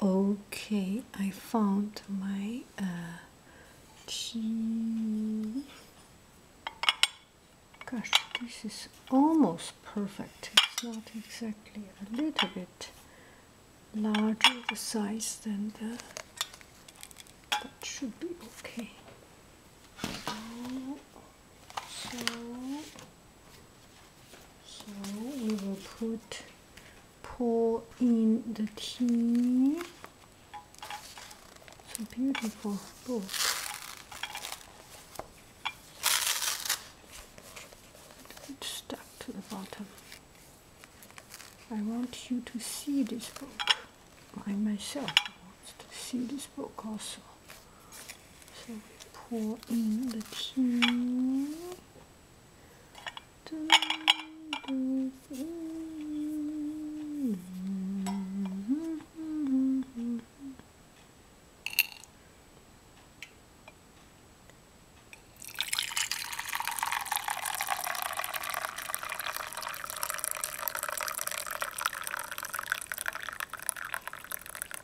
Okay, I found my uh, Gosh, this is almost perfect. It's not exactly a little bit larger the size than the. That should be okay. so so we will put pour in the tea. It's a beautiful book. It's stuck to the bottom. I want you to see this book. I myself want to see this book also. So we pour in the tea. Do, do, do.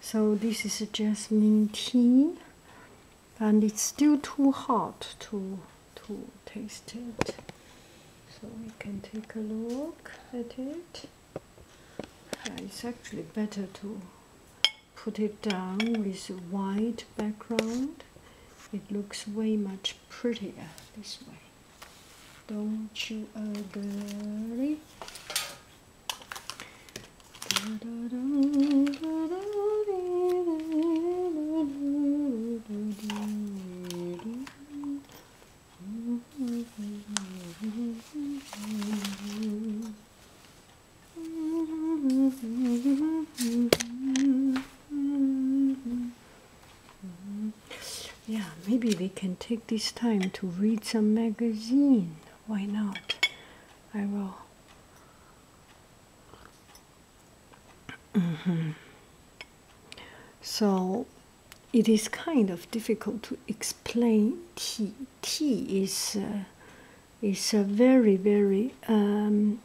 So this is jasmine tea and it's still too hot to to taste it. So we can take a look at it. Uh, it's actually better to put it down with a white background. It looks way much prettier this way. Don't you agree? Yeah, maybe we can take this time to read some magazine. Why not? I will Mm-hmm. So it is kind of difficult to explain tea. Tea is uh, is a very very um,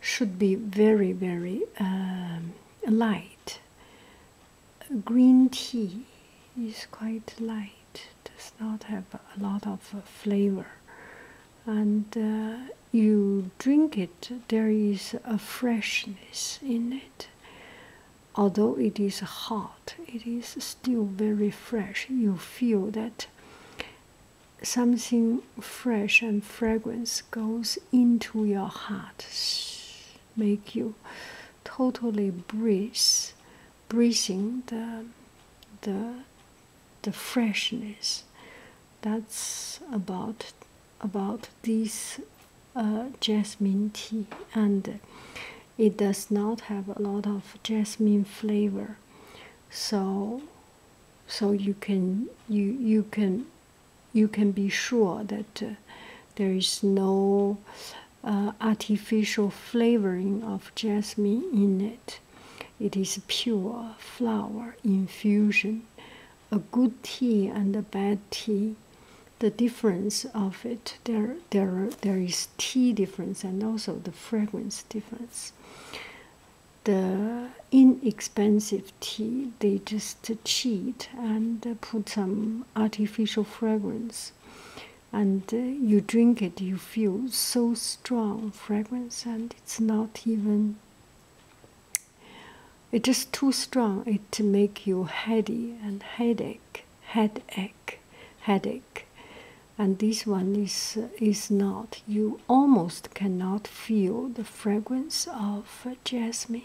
should be very very um, light. Green tea is quite light does not have a lot of uh, flavor. And uh, you drink it, there is a freshness in it. Although it is hot, it is still very fresh. You feel that something fresh and fragrance goes into your heart, make you totally breathe breathing the the the freshness that's about about this uh, jasmine tea and it does not have a lot of jasmine flavor so so you can you you can you can be sure that uh, there is no uh, artificial flavoring of jasmine in it. It is pure flower infusion. A good tea and a bad tea, the difference of it, there, there, there is tea difference and also the fragrance difference. The inexpensive tea, they just cheat and put some artificial fragrance and uh, you drink it, you feel so strong fragrance, and it's not even. It's too strong. It make you heady and headache, headache, headache, and this one is is not. You almost cannot feel the fragrance of jasmine.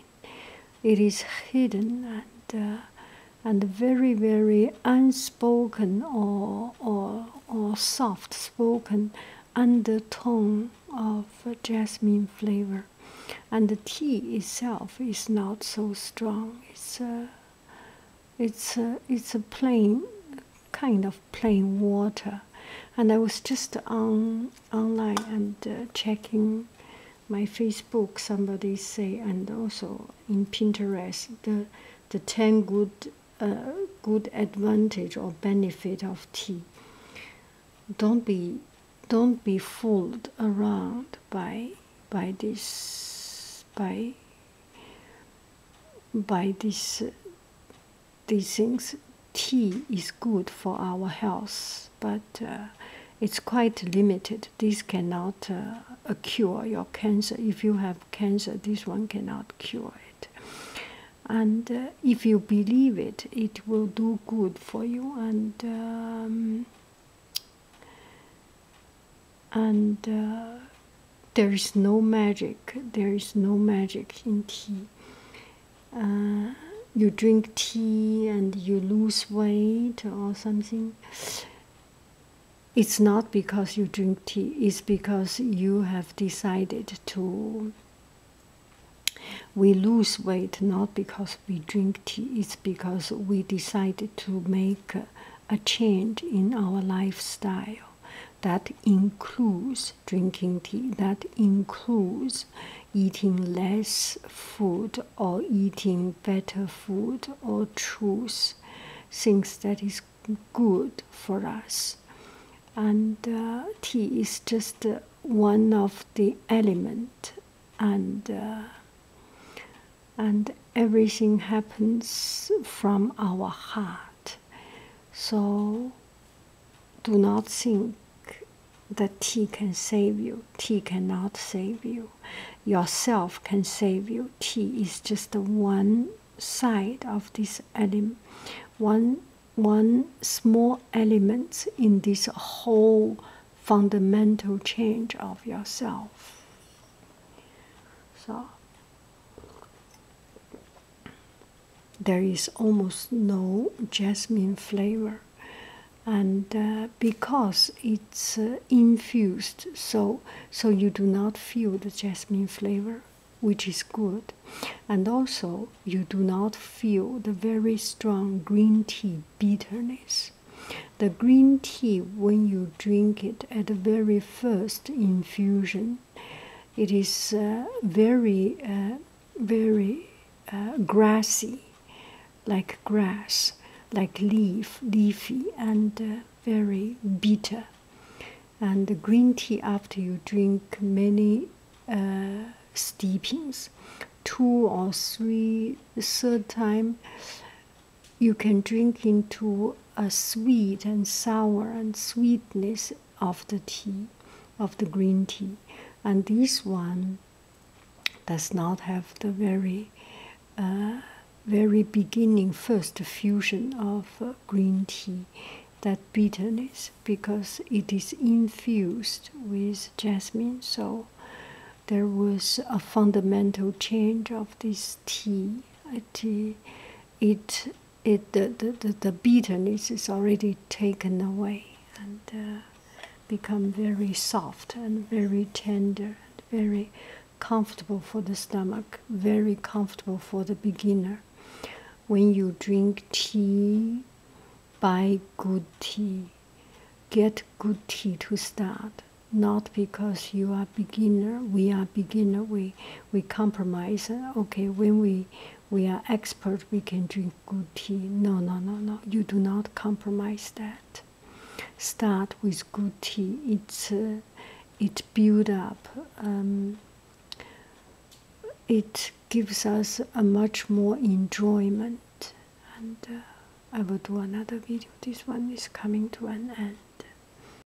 It is hidden and uh, and very, very unspoken or, or, or soft spoken undertone of jasmine flavor. And the tea itself is not so strong. It's a, it's a, it's a plain, kind of plain water. And I was just on online and uh, checking my Facebook, somebody say, and also in Pinterest, the the ten good uh, good advantage or benefit of tea. Don't be don't be fooled around by by this by by this these things. Tea is good for our health but uh, it's quite limited. This cannot uh, cure your cancer. If you have cancer, this one cannot cure it. And uh, if you believe it, it will do good for you. And um, and there is no magic. There is no magic in tea. you drink tea and you lose weight or something, it's not because you drink tea, it's because you have decided to. We lose weight not because we drink tea, it's because we decided to make a change in our lifestyle that includes drinking tea, that includes eating less food or eating better food or choose things that is good for us and uh, tea is just uh, one of the element and uh, and everything happens from our heart so do not think that tea can save you. Tea cannot save you. Yourself can save you. Tea is just one side of this element, one one small element in this whole fundamental change of yourself. So there is almost no jasmine flavor and uh, because it's uh, infused so so you do not feel the jasmine flavor which is good and also you do not feel the very strong green tea bitterness the green tea when you drink it at the very first infusion it is uh, very, uh, very uh, grassy, like grass, like leaf, leafy, and very bitter. And the green tea, after you drink many steepings, two or three, third time, you can drink into a sweet and sour and sweetness of the tea, of the green tea, and this one does not have the very, uh, very beginning first fusion of uh, green tea, that bitterness because it is infused with jasmine. So there was a fundamental change of this tea. It, it it the, the, the, bitterness is already taken away and uh, become very soft and very tender and very comfortable for the stomach very comfortable for the beginner when you drink tea buy good tea get good tea to start not because you are beginner we are beginner we we compromise. Okay, when we we are expert, we can drink good tea. No, no, no, no. You do not compromise that. Start with good tea. It's uh, it builds up. Um, it gives us a much more enjoyment. And uh, I will do another video. This one is coming to an end.